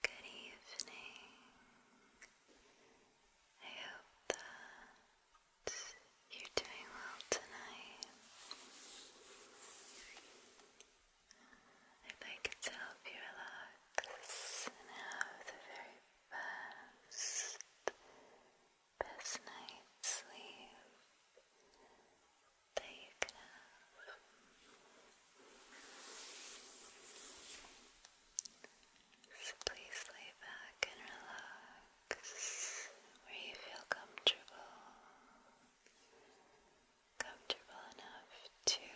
Good evening. I hope that you're doing well tonight. I'd help you relax and have the very best, best night's sleep. There you go. So please lay back and relax where you feel comfortable. Comfortable enough to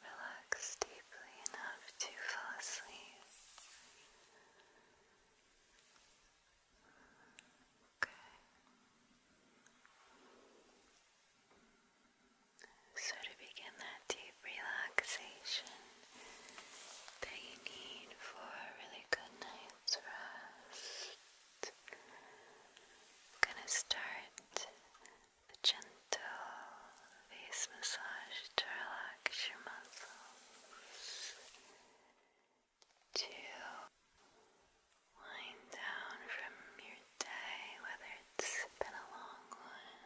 relax deeply enough to fall asleep. So to begin that deep relaxation that you need for a really good night's rest, I'm gonna start the gentle face massage to relax your muscles to wind down from your day, whether it's been a long one,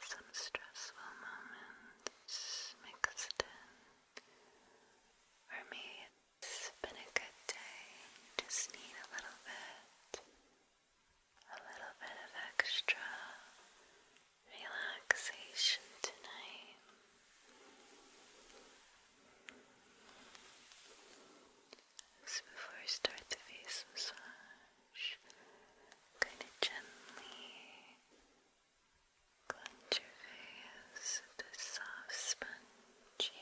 some stressful moments mixed in, or maybe it's been a good day, just need a little bit, a little bit of extra relaxation tonight. So before I start the face massage, kind of gently clench your face with this soft sponge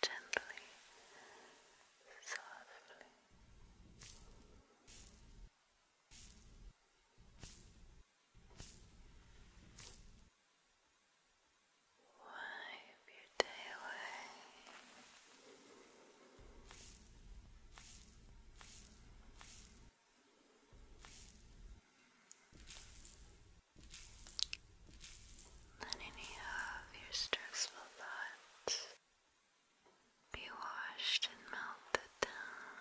gently, softly. Wipe your day away. Let any of your stressful thoughts be washed and melted down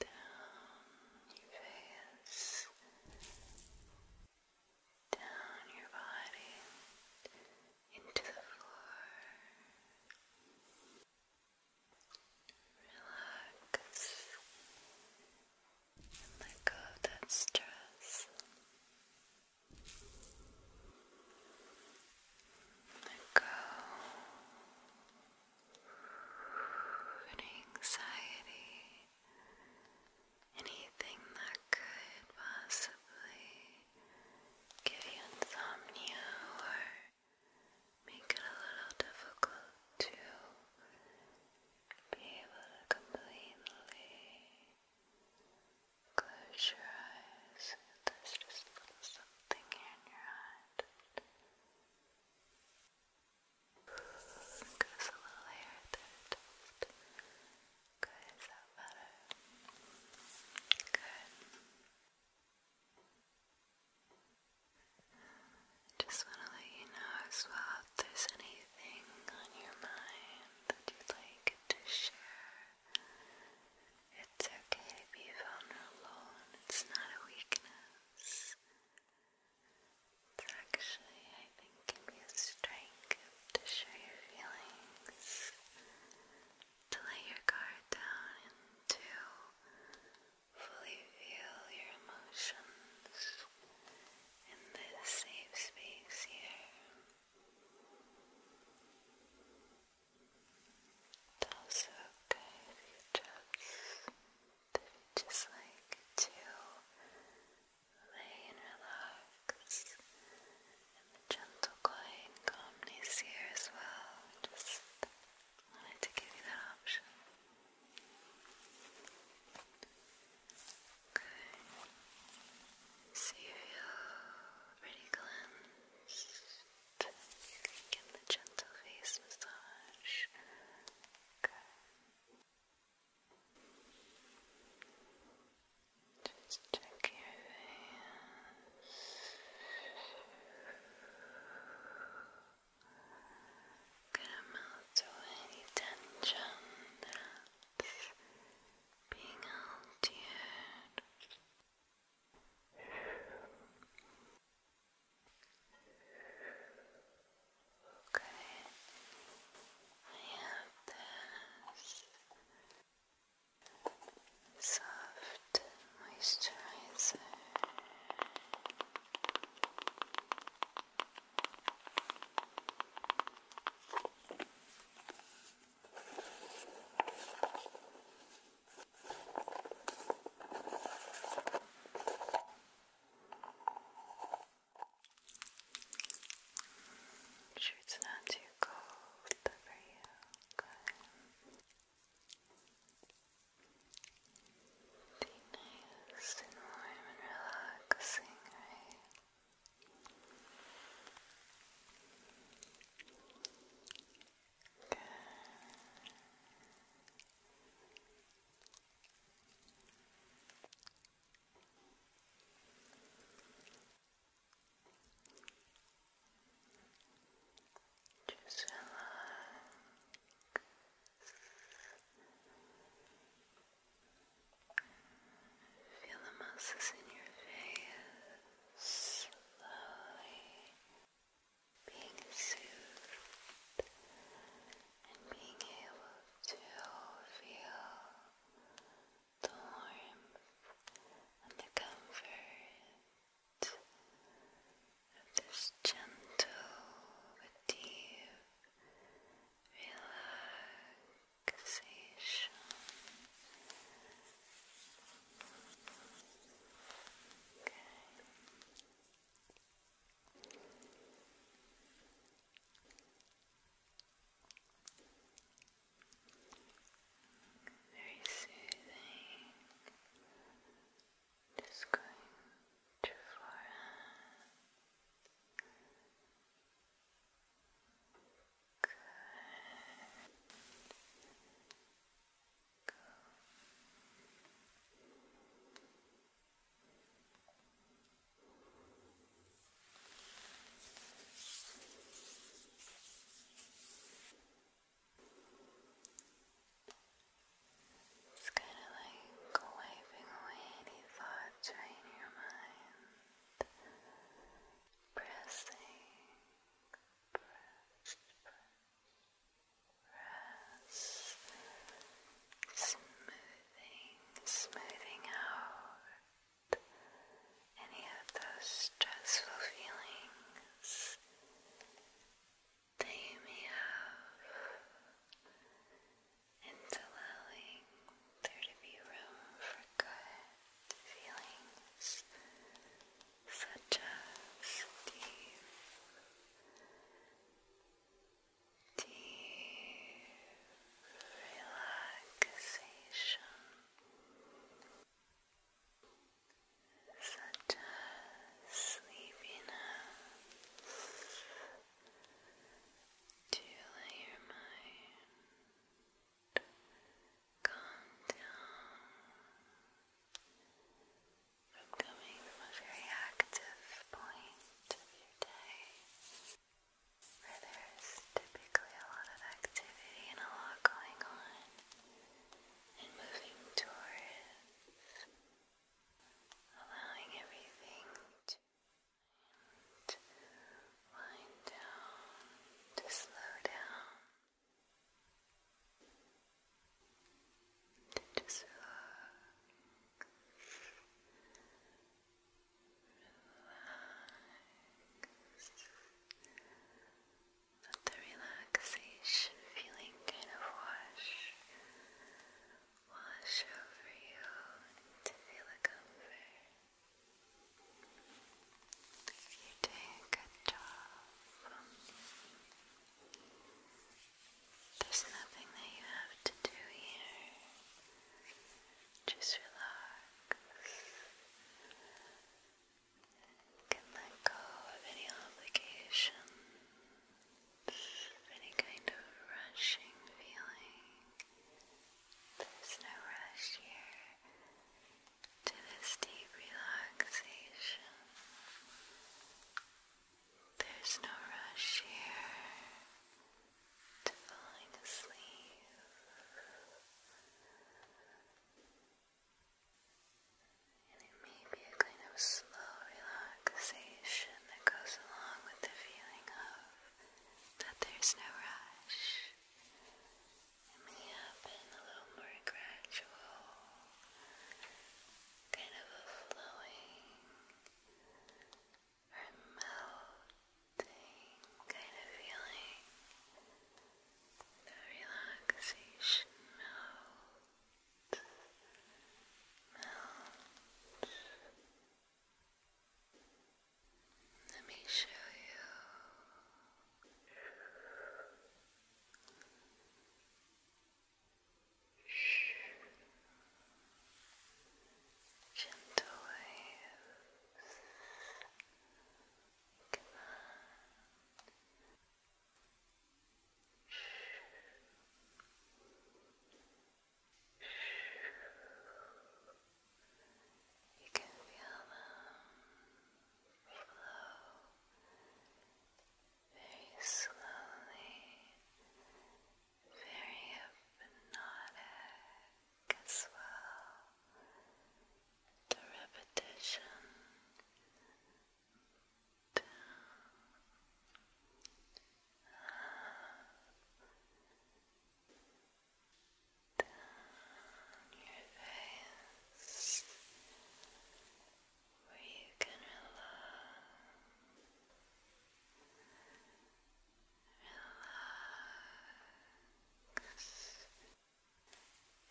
down your face, down your body, into the floor. Relax let go of that stress. Let go anxiety, anything that could possibly give you insomnia or make it a little difficult to be able to completely close your eyes. There's just a something in your head just want to let you know if there's anything on your mind that you'd like to share it's okay to be vulnerable it's not a weakness it's actually, I think, can be a strength to share your feelings, to let your guard down, to fully feel your emotions in this safe space here. It's also okay if you just just like to lay and relax. And the gentle, quiet calmness here as well. Just wanted to give you that option. Okay. So you feel pretty cleansed give the gentle face massage. Just check your face. Gonna melt away any tension that's being held here. Okay, I have this soft moisturizer sure it's not too cold for you. Good. Be nice and warm and relaxing, right? Good. Just relax. Feel the muscles in your face slowly being soothed and being able to feel the warmth and the comfort of this gentle, deep relaxation. Very soothing. Just going to your it's kind of like wiping away any thoughts in your mind. Pressing, press, press. Rest. Smoothing, smoothing out any of those stressful feelings that you may have, and allowing there to be room for good feelings such as deep, deep relaxation, such as sleepiness, to let your mind calm down from coming from a very active point of your day there's typically a lot of activity and a lot going on and moving towards allowing everything to wind down, to slow down just relax, let the relaxation feeling kind of wash, wash over you to feel a comfort. You're doing a good job. There's nothing that you have to do here. Just relax. can let go of any obligations, any kind of rushing feeling. There's no rush here to this deep relaxation. There's no rush here to falling asleep. And it may be a kind of slow relaxation that goes along with the feeling of that there's no rush. It may happen a little more gradual, kind of a flowing or melting kind of feeling. The relaxation melts, melts. Let me show you Gentle waves. Come on. You can feel them flow very slowly, very hypnotic as well. The repetition down. Down your face, where you can relax, relax.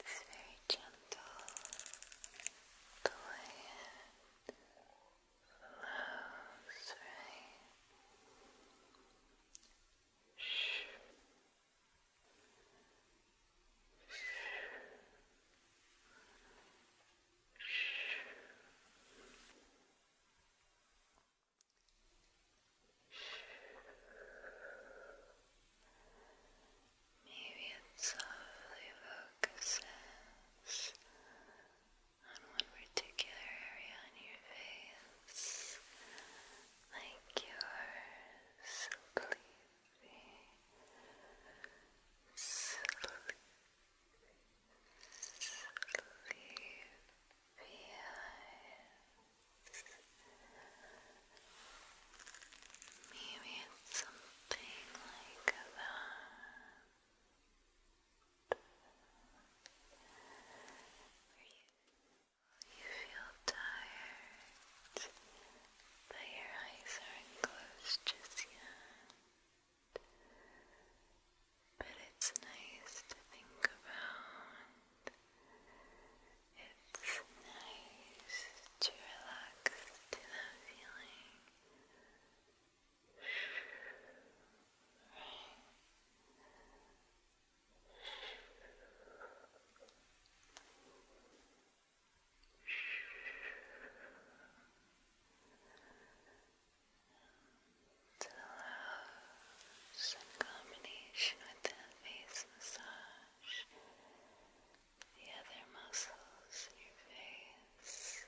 This very gentle, buoyant flows right. Shh. Maybe it softly focuses on one particular area on your face, like your sleep sleepy, sleepy Maybe it's something like that. Where you you feel tired, but your eyes aren't closed just yet. But it's nice to think about. It's nice to relax to that feeling. Right. It allows, in combination with that face massage, the other muscles in your face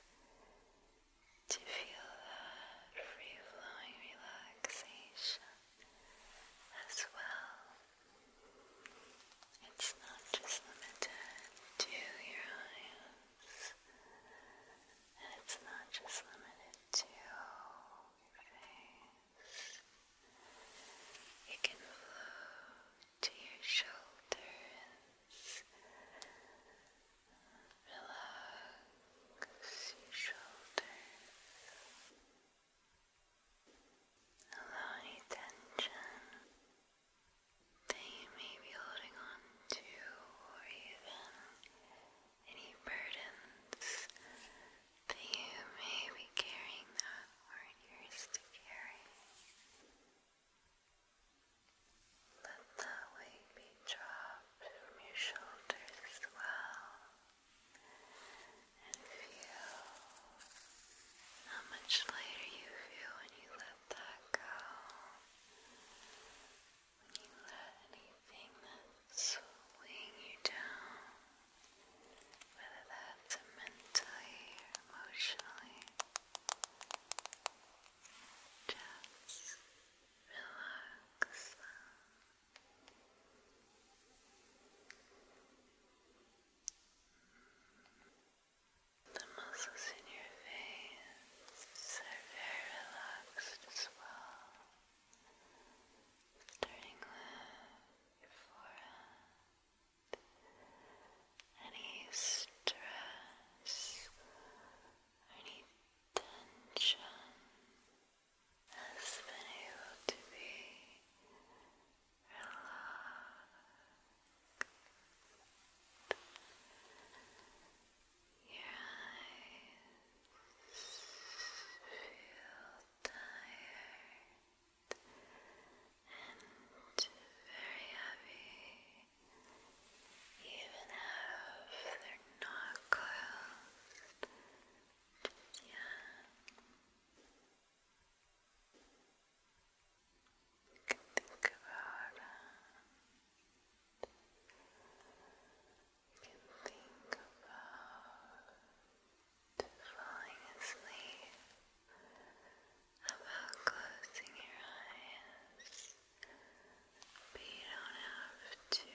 to feel that free flowing relaxation as well. It's not just limited to your eyes, and it's not just limited to your face. It can flow to your shoulders. Relax your shoulders. Allow any tension that you may be holding on to, or even any burdens that you may be carrying that aren't yours to carry. Let that weight be dropped from your shoulders as well. And feel how much lighter you feel when you let that go. When you let anything that's weighing you down, whether that's mentally or emotionally, just relax the muscles in your face are very relaxed as well. Starting with your any stress, any tension has been able to be relaxed. Your eyes feel tired and very heavy, even if they're not closed. Yeah. Think about You can think about falling asleep, about closing your eyes. But you don't have to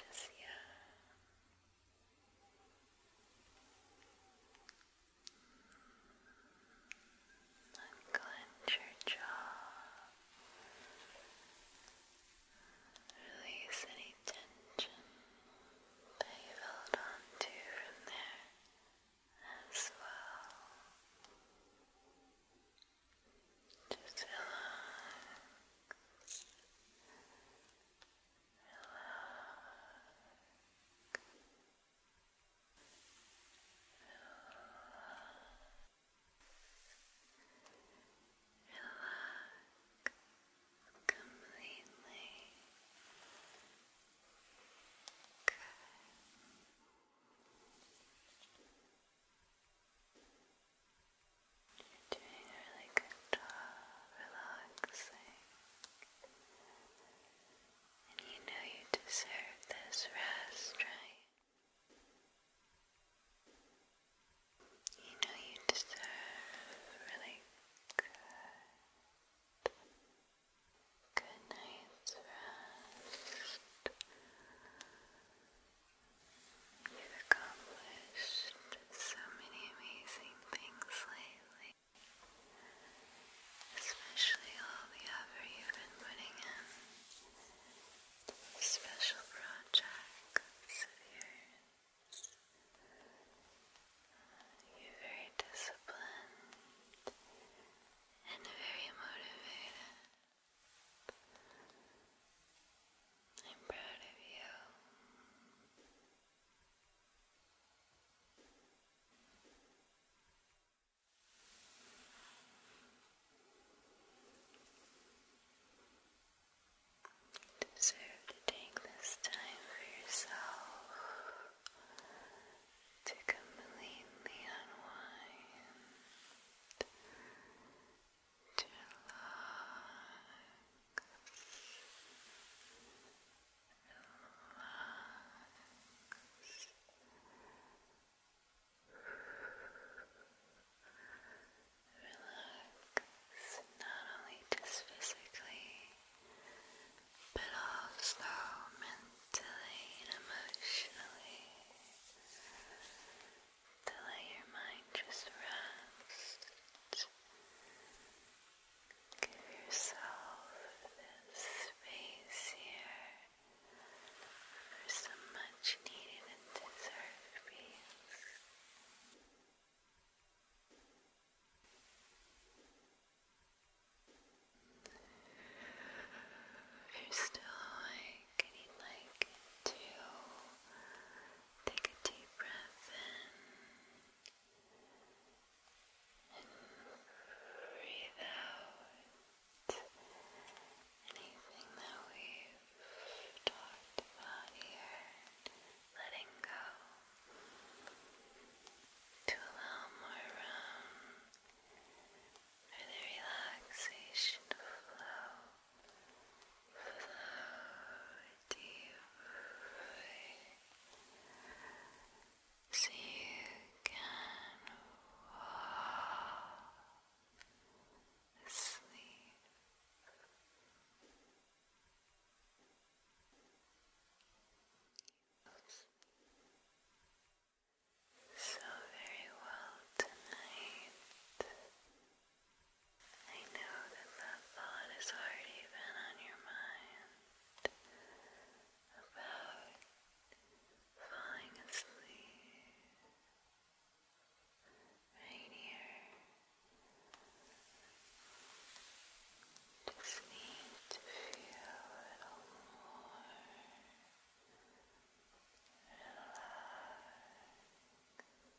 just yet. Unclench your jaw. Release any tension that you on to from there as well. Just relax relax completely. Good. Good. You're doing a really good job relaxing. And you know you deserve this rest, right? You know you deserve really good, good night's rest. You've accomplished so many amazing things lately, especially all the effort you've been putting in special projects You're very disciplined and very motivated. I'm proud of you. You deserve to take this time for yourself to completely unwind relax, not only just physically, but also mentally and emotionally to let your mind just rest. Give yourself this space here for some much needed and deserved peace. you're still awake and you Take a deep breath in and breathe out anything that we've talked about here, letting go to allow more room for the relaxation to flow deeply so you can fall asleep. So very well tonight. I know that that thought is already been on your mind about falling asleep right here. Just need to feel a little more relaxed.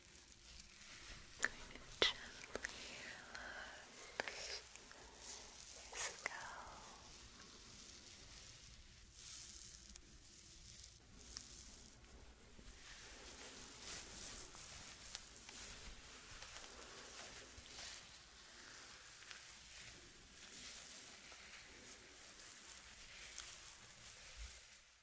going to gently relax your scalp. Good.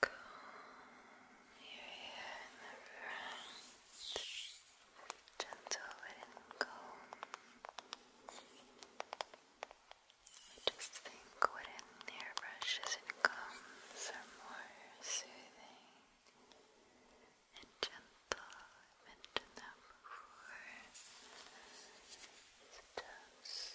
Comb your Gentle wooden comb. Just think wooden hairbrushes and combs are more soothing and gentle. I mentioned that before. So just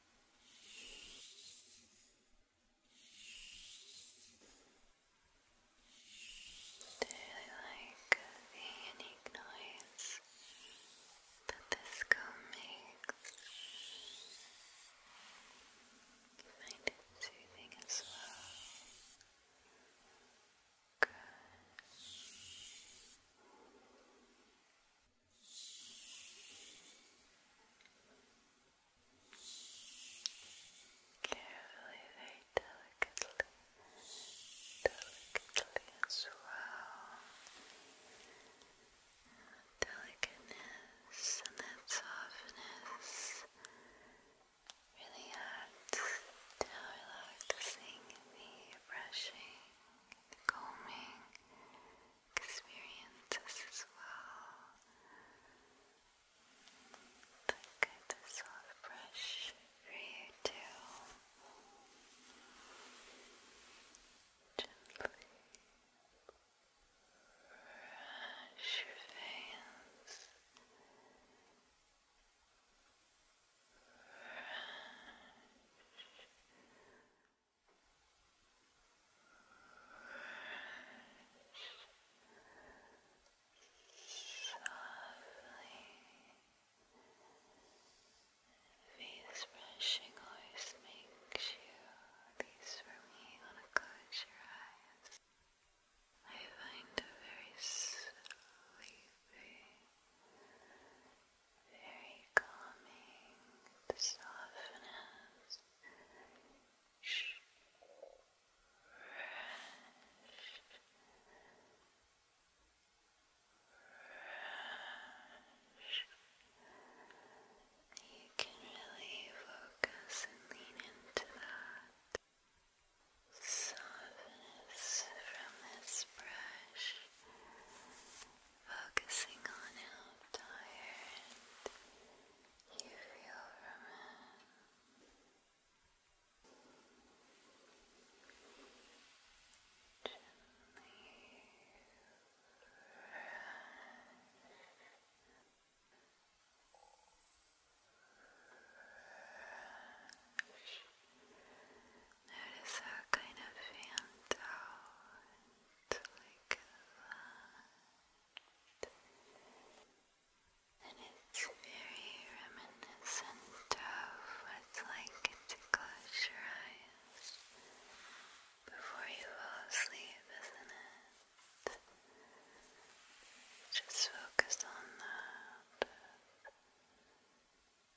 I really like the unique noise that this comb makes. find it soothing as well. Good. Carefully, very delicately, delicately as well. Delicateness and that softness really adds to how relaxing the brushing calming experiences as well. Look at soft brush for you too. Gently brush your veins. Face brushing always makes you, at for me, want to close your eyes. I find it very sleepy very calming, the softness, fresh, fresh. You can really focus and lean into that softness from this brush. Focusing on how tired you feel Gently Rush. Rush. Notice how it kind of fanned out like And it's very reminiscent of what's like to close your eyes before you fall asleep, isn't it? Just focus on that.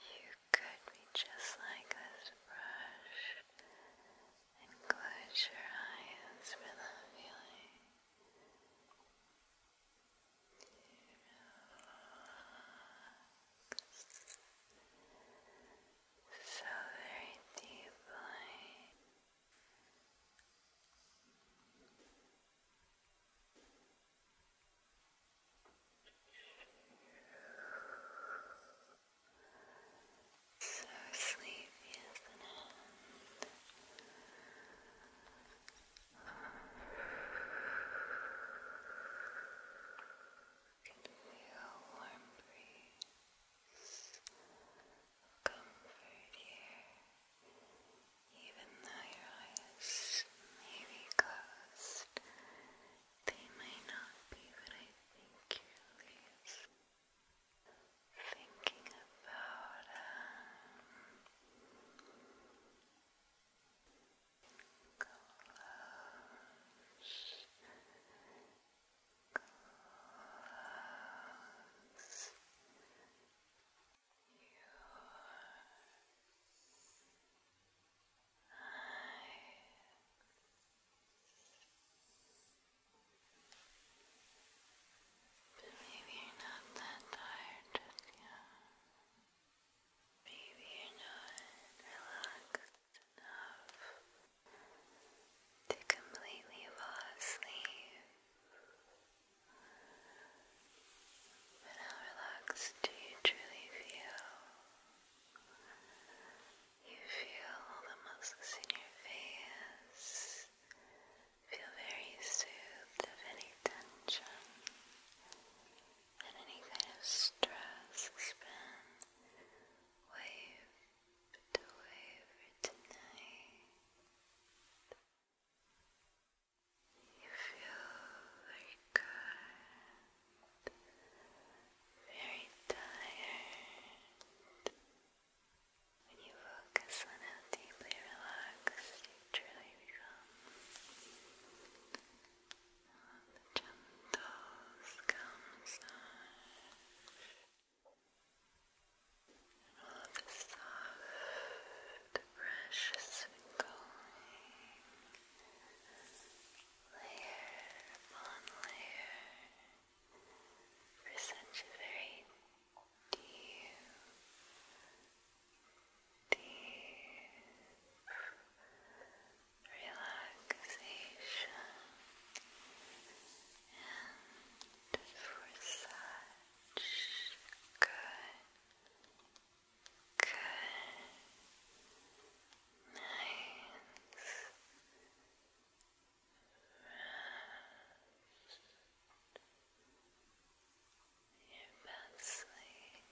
You could be just like this brush and close your eyes for that feeling. So very deeply. So sleepy, isn't it? You can feel a warm breeze, comfort here. Even though your eyes may be closed, they may not be what I think you're thinking about. Um, close. Close. Maybe you're not that tired just Maybe you're not relaxed enough to completely fall asleep. But how relaxed do you truly feel? You feel all the muscles in your face. Feel very soothed of any tension and any kind of stress Expand, been waved away tonight. You feel very good, very tired. When you focus on how deeply relaxed you truly become, on the gentle scalp massage, and all the soft the precious going layer upon layer, for such very deep, deep relaxation and for such good Good. Nice. Rest. Your best sleep.